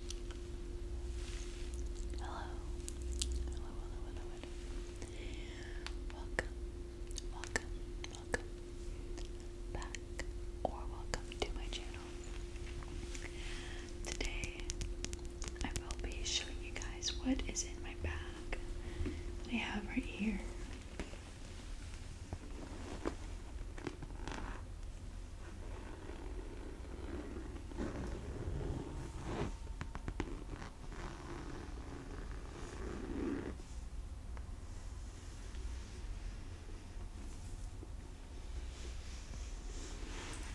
Hello. Hello, Welcome, welcome, welcome back, or welcome to my channel. Today, I will be showing you guys what is in my bag that I have right here.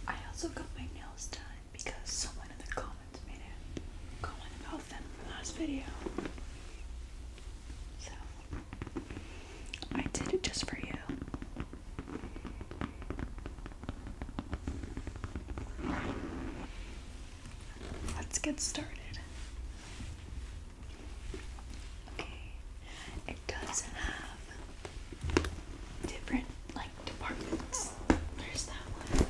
I also got my nails done because someone in the comments made a comment about them last video. So I did it just for you. Let's get started. Okay, it does have different like departments. There's that one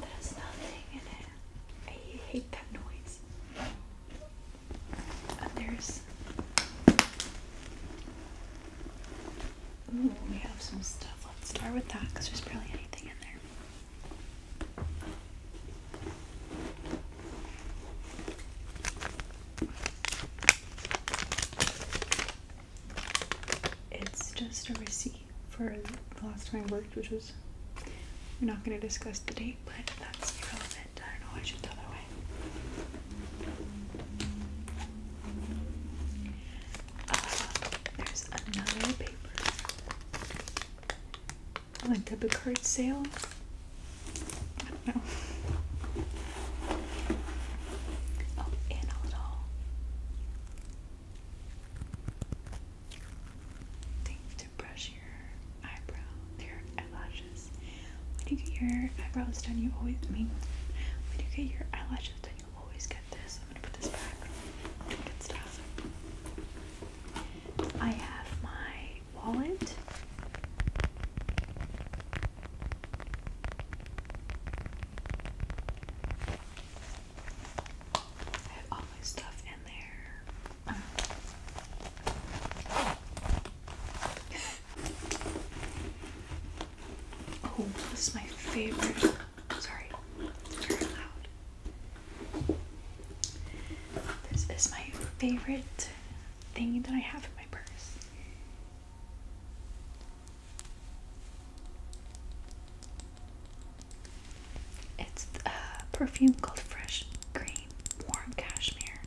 that nothing in it. I hate that noise others. Ooh, we have some stuff. Let's start with that because there's barely anything in there. It's just a receipt for the last time I worked, which is We're not going to discuss the date, but that's irrelevant. I don't know why I should throw that away. Uh, there's another paper. Oh, a card sale? I don't know. Oh, and a little brush your eyebrow, your eyelashes. When you get your eyebrows done, you always, mean, when you get your eyelashes done, you always get this. I'm gonna put this back. Good stuff. I have my wallet stuff in there. Oh, this is my favorite. Sorry, it's loud. This is my favorite thing that I have in my purse. It's a uh, perfume called Fresh Green Warm Cashmere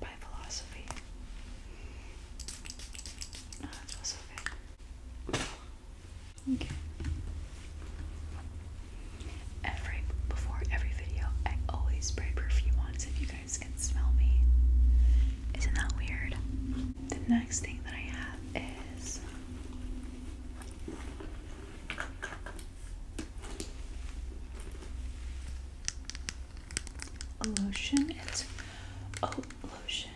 by Philosophy. Okay. Oh, every before every video, I always spray perfume on if you guys can smell me. Isn't that weird? The next thing that I have is lotion. It's oat lotion,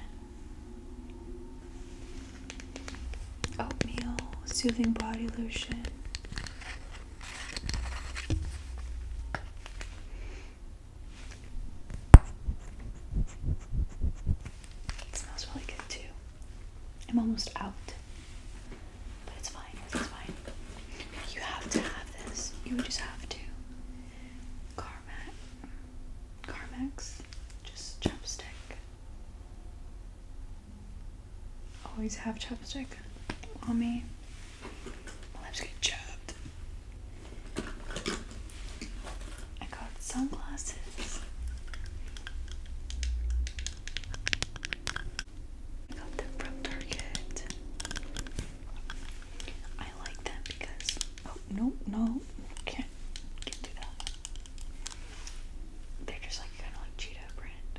oatmeal soothing body lotion. It smells really good too. I'm almost out. But it's fine, it's fine. You have to have this. You just have to. Carmax. Carmax. Just chapstick. Always have chopstick on me. lips get chapped. I got sunglasses. I got them from Target. I like them because oh no no can't can't do that. They're just like kind of like Cheetah brand.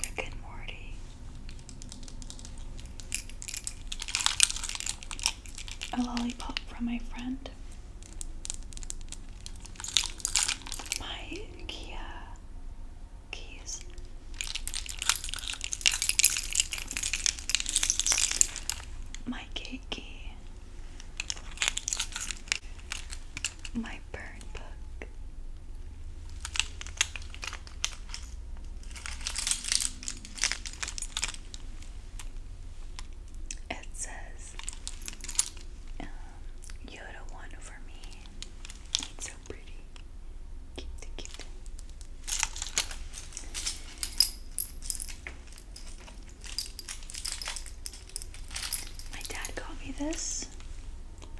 Rick and Morty. A lollipop from my friend. My Kia keys. My gate key my burn book. It says, um, one for me. It's so pretty. Cute, cute. My dad got me this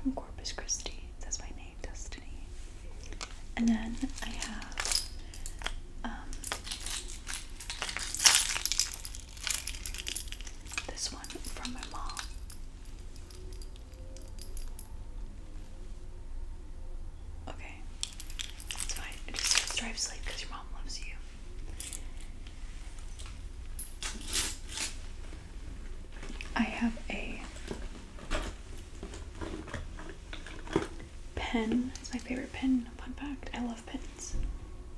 from Corpus Christi. It my name, Destiny. And then I have um, this one from my mom. Okay, it's fine. just says drive safe because your mom loves you. I have a pen. It's my favorite pen. Fun fact I love pens.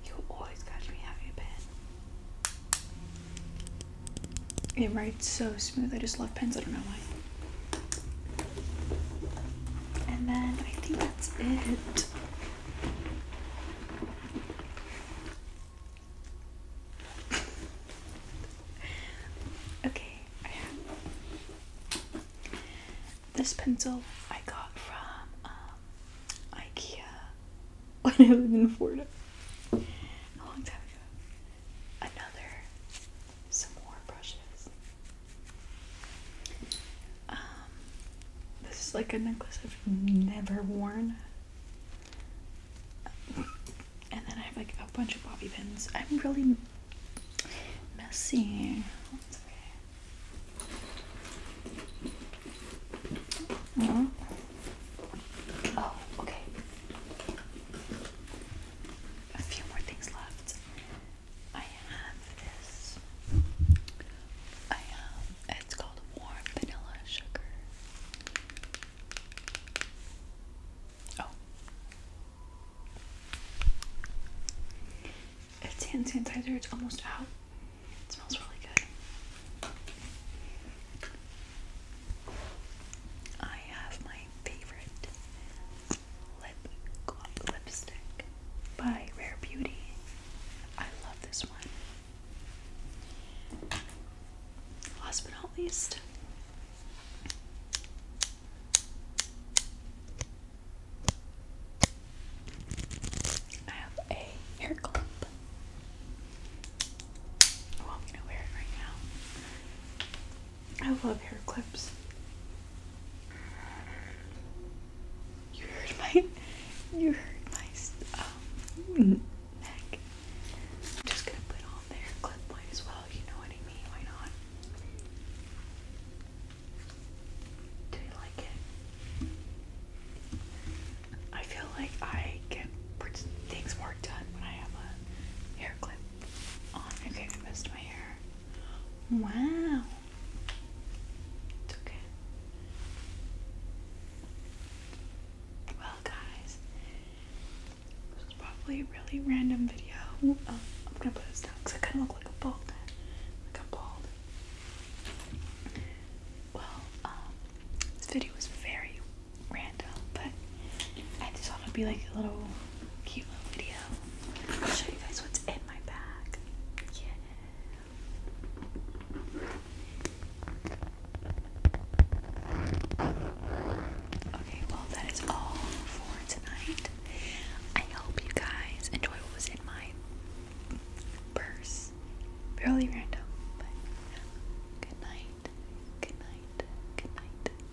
You always catch me having a pen. It writes so smooth. I just love pens. I don't know why. And then I think that's it okay, this pencil I got from um, IKEA when I was in Florida a long time ago. Another, some more brushes. Um, this is like a necklace I've never worn. And then I have like a bunch of bobby pins. I'm really messy. Oh. oh, okay. A few more things left. I have this. I have. Um, it's called warm vanilla sugar. Oh. It's hand sanitizer. It's almost out. It smells really good. I have my favorite Lip Gloss Lipstick by Rare Beauty. I love this one. Last but not least, I have a hair clip. I'm gonna wear it right now. I love hair clips. You heard my, you heard my um, neck. I'm just gonna put on the hair clip line as well. You know what I mean? Why not? Do you like it? I feel like I get things more done when I have a hair clip on. Okay, I missed my hair. Wow. okay. Well, guys, this was probably a really random video. Oh, I'm gonna put this down because I kind of look like a bald. Like a bald. Well, um, this video was very random, but I just thought it'd be like a little cute little video. I'll show you guys what's in my bag. Yeah. Okay, well that is all for tonight. I hope you guys enjoy what was in my purse. Fairly random, but good night. Good night. Good night.